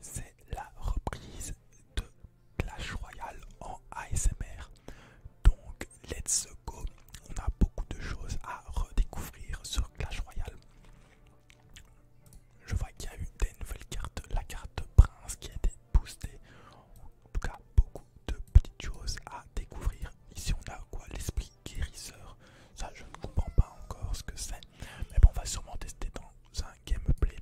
C'est la reprise de Clash Royale en ASMR. Donc, let's go. On a beaucoup de choses à redécouvrir sur Clash Royale. Je vois qu'il y a eu des nouvelles cartes, la carte Prince qui a été boostée. En tout cas, beaucoup de petites choses à découvrir. Ici, on a quoi L'esprit guérisseur. Ça, je ne comprends pas encore ce que c'est. Mais bon, on va sûrement tester dans un gameplay.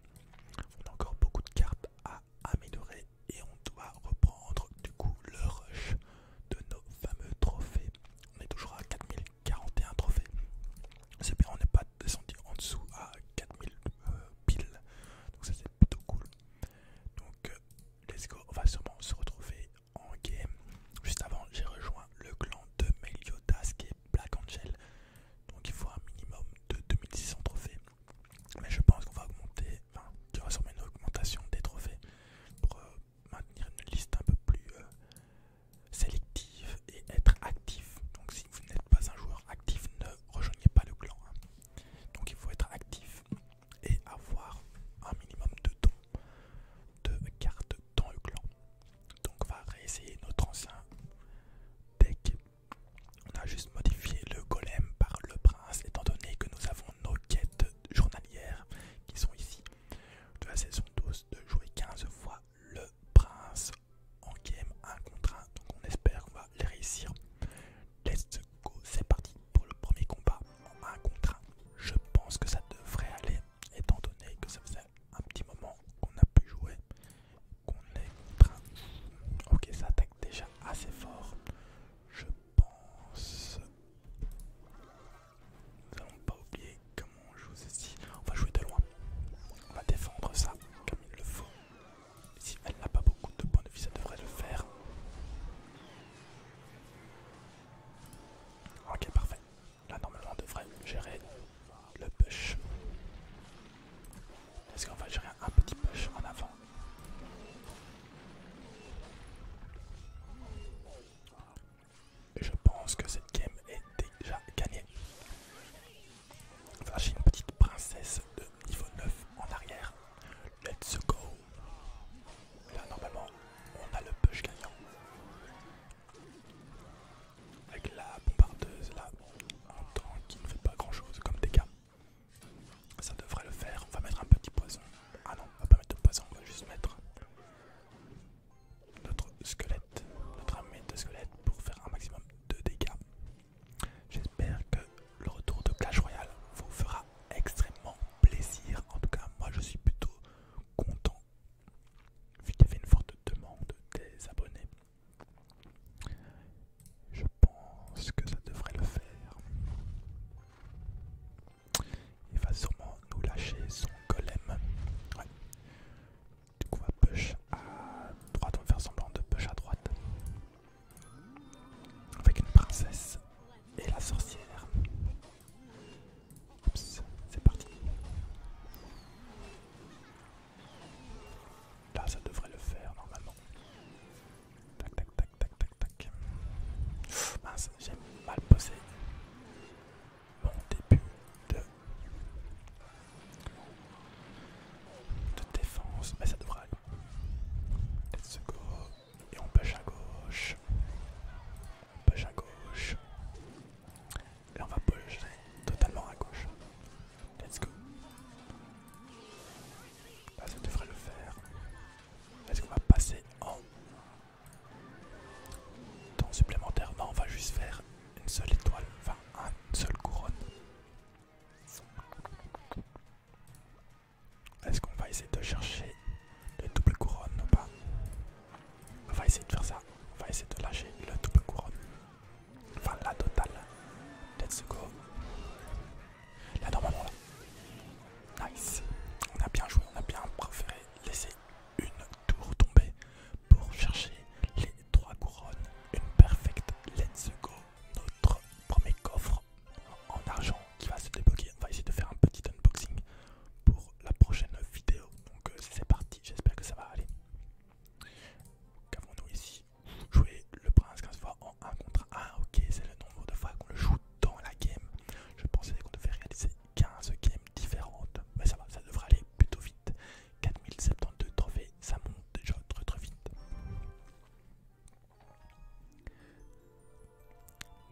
On a encore beaucoup de cartes à améliorer et on doit reprendre du coup le rush de nos fameux trophées. On est toujours à 4041 trophées. C'est bien, on n'est pas descendu en dessous à 4000 euh, piles. Donc ça c'est plutôt cool. Donc euh, let's go, on va sûrement se retrouver en game. Juste avant, j'ai rejoint le clan de Meliodas qui est Black Angel. Donc il faut un minimum de 2600 trophées. Mais je pense qu'on va augmenter, enfin qu'il y aura une augmentation des trophées pour euh, maintenir une liste un peu plus euh, sélective et être actif. Donc si vous n'êtes pas un joueur actif, ne rejoignez pas le clan. Hein. Donc il faut être actif et avoir un minimum de dons de cartes dans le clan. Donc on va réessayer notre ancien deck. On a juste modifié le golem par le prince étant donné que nous avons nos quêtes journalières qui sont ici de la saison 12 de jouer 15 fois le prince en game 1 contre 1. Donc on espère qu'on va les réussir. Let's go, c'est parti pour le premier combat en 1 contre 1. Je pense que ça devrait aller étant donné que ça faisait un petit moment qu'on a pu jouer, qu'on est Ok, ça attaque déjà assez fort. Je pense... Nous allons pas oublier comment on joue ceci. On va jouer de loin. On va défendre ça comme il le faut. Si elle n'a pas beaucoup de points de vie, ça devrait le faire. Ok, parfait. Là normalement on devrait gérer le push. Est-ce qu'on va gérer un petit push en avant je pense que cette game est déjà gagnée. Enfin, j'ai une petite princesse de niveau 9 en arrière. Let's go Là normalement on a le push gagnant. Avec la bombardeuse là, en tant qu'il ne fait pas grand chose comme dégâts. Ça devrait le faire. On va mettre un petit poison. Ah non, on va pas mettre de poison, on va juste mettre notre squelette, notre armée de squelette pour faire un maximum de dégâts. J'espère que le retour de Clash Royale vous fera extrêmement plaisir. En tout cas, moi je suis plutôt content vu qu'il y avait une forte demande des abonnés, je pense que ça devrait le faire. Il va sûrement nous lâcher son golem. Du coup, on va push à droite, on va faire semblant de push à droite. Avec une princesse et la sorcière. Oups, c'est parti. Là, ça devrait le faire normalement. Tac, tac, tac, tac, tac, tac. Oh, mince, j'ai mal posé mon début de, de défense, mais ça devrait aller. Let's go. Et on pêche à gauche. On pêche à gauche. Et on va bouger totalement à gauche. Let's go. Ah, ça devrait le faire. Est-ce qu'on va passer en temps supplémentaire Non, on va juste faire une seule étoile, enfin une seule couronne. Est-ce qu'on va essayer de chercher une double couronne ou pas on va essayer de faire ça. On va essayer de lâcher le double couronne. Enfin, la totale. Let's go. La normalement, Nice. On a bien joué. On a bien préféré laisser une tour tomber pour chercher les trois couronnes. Une perfecte. Let's go. Notre premier coffre en argent qui va se débloquer. On va essayer de faire un petit unboxing pour la prochaine vidéo. Donc euh, c'est parti, j'espère que ça va aller. Qu'avons-nous ici Jouer le prince 15 fois en 1 contre 1. Ah, ok, c'est le nombre de fois qu'on le joue dans la game. Je pensais qu'on devait réaliser 15 games différentes. Mais ça va, ça devrait aller plutôt vite. 4072 trophées, ça monte déjà très très vite.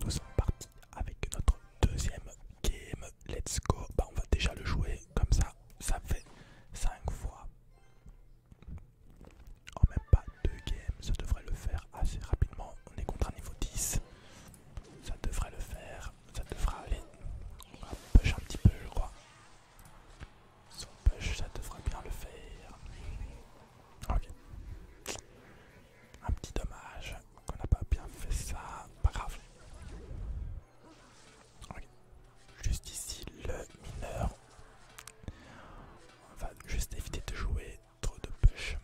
Nous sommes partis avec notre deuxième game. Let's go. Bah, on va déjà le jouer comme ça. Ça fait 5 fois. En même pas deux games. Ça devrait le faire assez rapidement. On est contre un niveau 10. Ça devrait le faire. Ça devrait aller. On va push un petit peu, je crois. on push, ça devrait bien le faire. Ok. Un petit dommage qu'on n'a pas bien fait ça. Pas grave. Juste ici le mineur. On va juste éviter de jouer trop de push.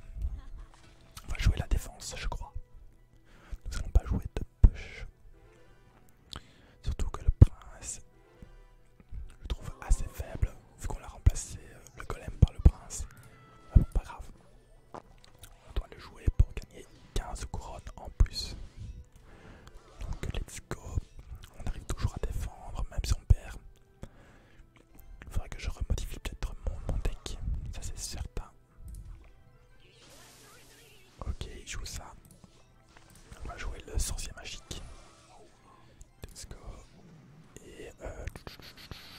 On va jouer la défense, je crois. Nous allons pas jouer de push. Surtout que le prince, je le trouve assez faible vu qu'on a remplacé euh, le golem par le prince. Ah pas grave. On doit le jouer pour gagner 15 couronnes en plus. Donc let's go. On arrive toujours à défendre, même si on perd. Il faudrait que je remodifie peut-être mon, deck, ça c'est certain. Ok, il joue ça. On va jouer le sorcier magique. Let's go. Et euh,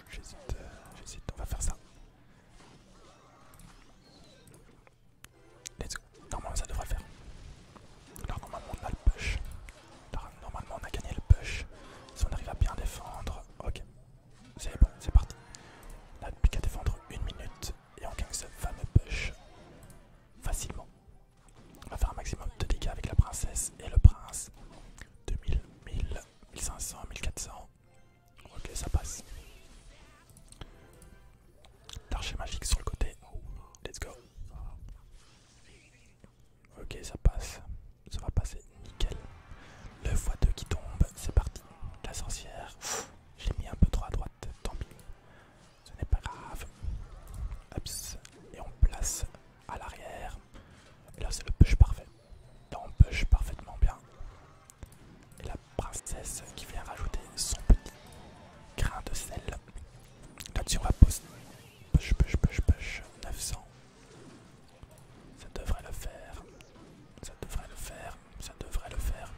j'hésite, euh, j'hésite, on va faire ça. Comment Normalement ça devrait faire. normalement on a le push. normalement on a gagné le push. Si on arrive à bien défendre, ok. C'est bon, c'est parti. On n'a plus qu'à défendre une minute et on gagne ce fameux push facilement. On va faire un maximum de dégâts avec la princesse et le prince. 2000, 1000, 1500, 1400. Ok, ça passe. L'archer magique sur le côté. Let's go. Ok, ça passe. Ça va passer. Nickel. Le x2 qui tombe. C'est parti. La sorcière. Je l'ai mis un peu trop à droite. Tant pis. Ce n'est pas grave. Et on place à l'arrière. là, c'est le push parfait push parfaitement bien. Et la princesse qui vient rajouter son petit grain de sel. Là-dessus, on va poser push, push, push, push, 900. Ça devrait le faire. Ça devrait le faire. Ça devrait le faire.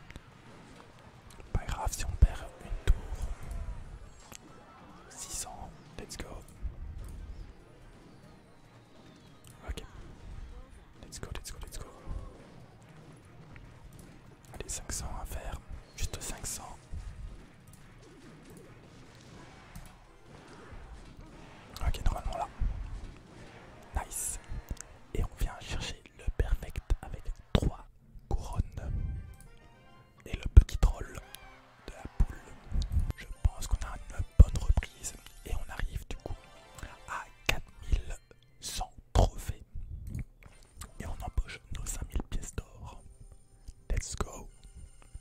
Pas grave si on perd une tour. 600, let's go. Ok. Let's go, let's go, let's go. Allez, 500 à faire. Juste 500. Ok, normalement là. Nice. Et on vient chercher le perfect avec 3 couronnes. Et le petit troll de la poule. Je pense qu'on a un bonne reprise et on arrive du coup à 4100 trophées et on empoche nos 5000 pièces d'or. Let's go,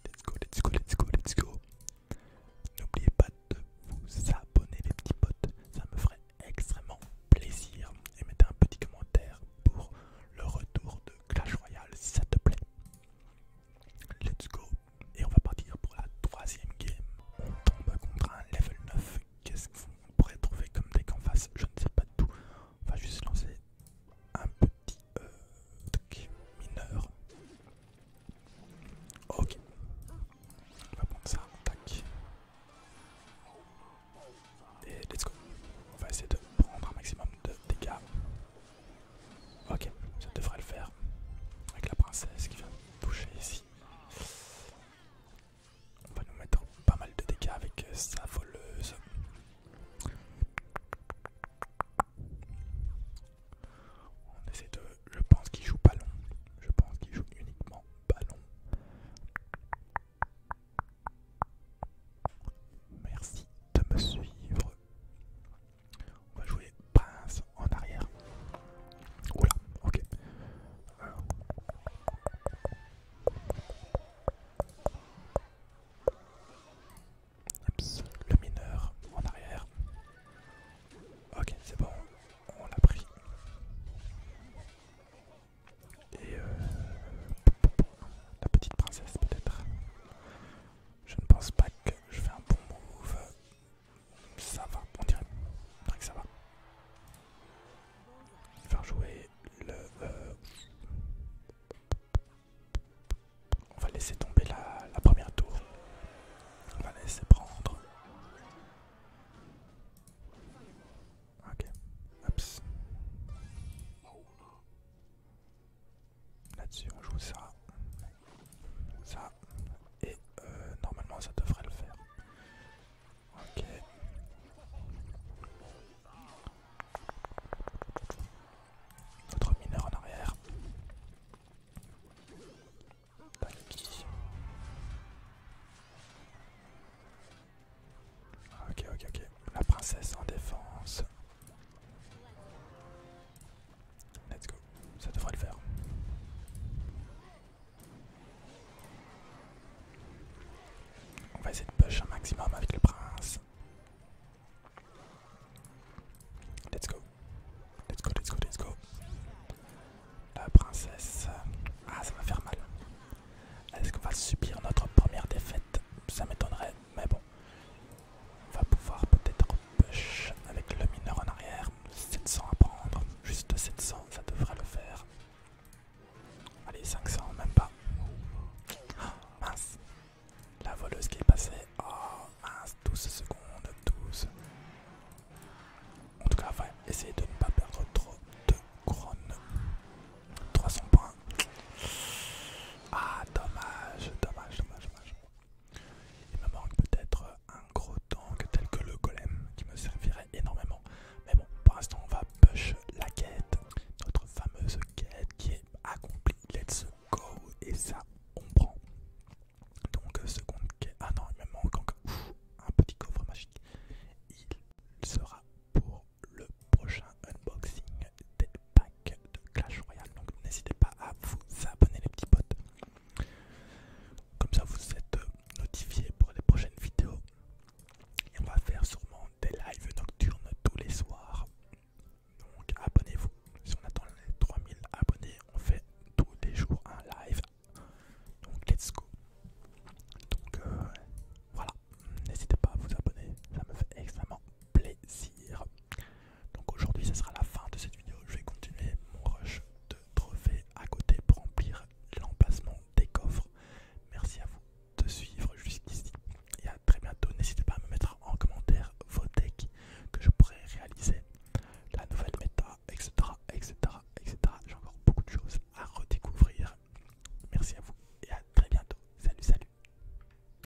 let's go, let's go, let's go, let's go. N'oubliez pas de vous abonner les petits potes, ça me ferait extrêmement plaisir et mettez un petit commentaire pour le retour de Clash Royale si ça te plaît. Let's go, et on va partir pour la troisième game. On tombe contre un level 9. Qu'est-ce qu'on pourrait trouver comme deck en face Je ne sais pas du tout. On va juste lancer un petit euh, mineur. Ok. On va prendre ça. Et let's go. On va essayer de prendre un maximum de dégâts. Ok, ça devrait le faire. Avec la princesse qui vient toucher ici. On va nous mettre pas mal de dégâts avec euh, sa voleuse. On essaie de. Je pense qu'il joue ballon. Je pense qu'il joue uniquement ballon. Merci de me suivre. On va jouer prince en arrière. Oula, ok. Euh. le mineur en arrière. Ok, c'est bon, on l'a pris. Et euh, la petite princesse peut-être. Je ne pense pas que je fais un bon move. Ça va, on dirait, on dirait que ça va. On va jouer le... Euh, on va laisser tomber la, première tour. On va laisser prendre. Ok. Oups. Là-dessus, on joue ça, ça, et euh, normalement ça devrait le faire. Ok. Notre mineur en arrière. Ok, ok, ok. La princesse en défense. Let's go, ça devrait le faire. On va essayer de push un maximum avec le prince. Let's go, let's go, let's go, let's go. La princesse. Ah, ça va faire mal. Est-ce qu'on va subir notre première défaite Ça m'étonnerait, mais bon. On va pouvoir peut-être push avec le mineur en arrière. 700 à prendre, juste 700, ça devrait le faire. Allez, 500, même pas. Ah, mince. La voleuse qui est passée. Oh, mince, 12 secondes, 12. En tout cas, on va essayer de ne pas perdre trop de couronnes. 300 points. Ah, dommage, dommage, dommage, dommage. Il me manque peut-être un gros tank tel que le golem qui me servirait énormément. Mais bon, pour l'instant, on va push la quête, notre fameuse quête qui est accomplie. Let's go! Et ça, on prend. Donc, seconde quête. Ah non, il me manque encore un petit coffre magique. Il sera pour le prochain unboxing des packs de Clash Royale. Donc n'hésitez pas à vous abonner les petits potes. Comme ça vous êtes euh, notifié pour les prochaines vidéos. Et on va faire sûrement des lives nocturnes tous les soirs. Donc abonnez-vous. Si on attend les 3000 abonnés, on fait tous les jours un live. Donc let's go. Donc euh, voilà, n'hésitez pas à vous abonner, ça me fait extrêmement plaisir. Donc aujourd'hui, ce sera la fin de cette vidéo. Je vais continuer mon rush de trophées à côté pour remplir l'emplacement des coffres. Merci à vous de suivre jusqu'ici et à très bientôt. N'hésitez pas à me mettre en commentaire vos decks que je pourrais réaliser, la nouvelle méta, etc. etc., etc. J'ai encore beaucoup de choses à redécouvrir. Merci à vous et à très bientôt. Salut, salut.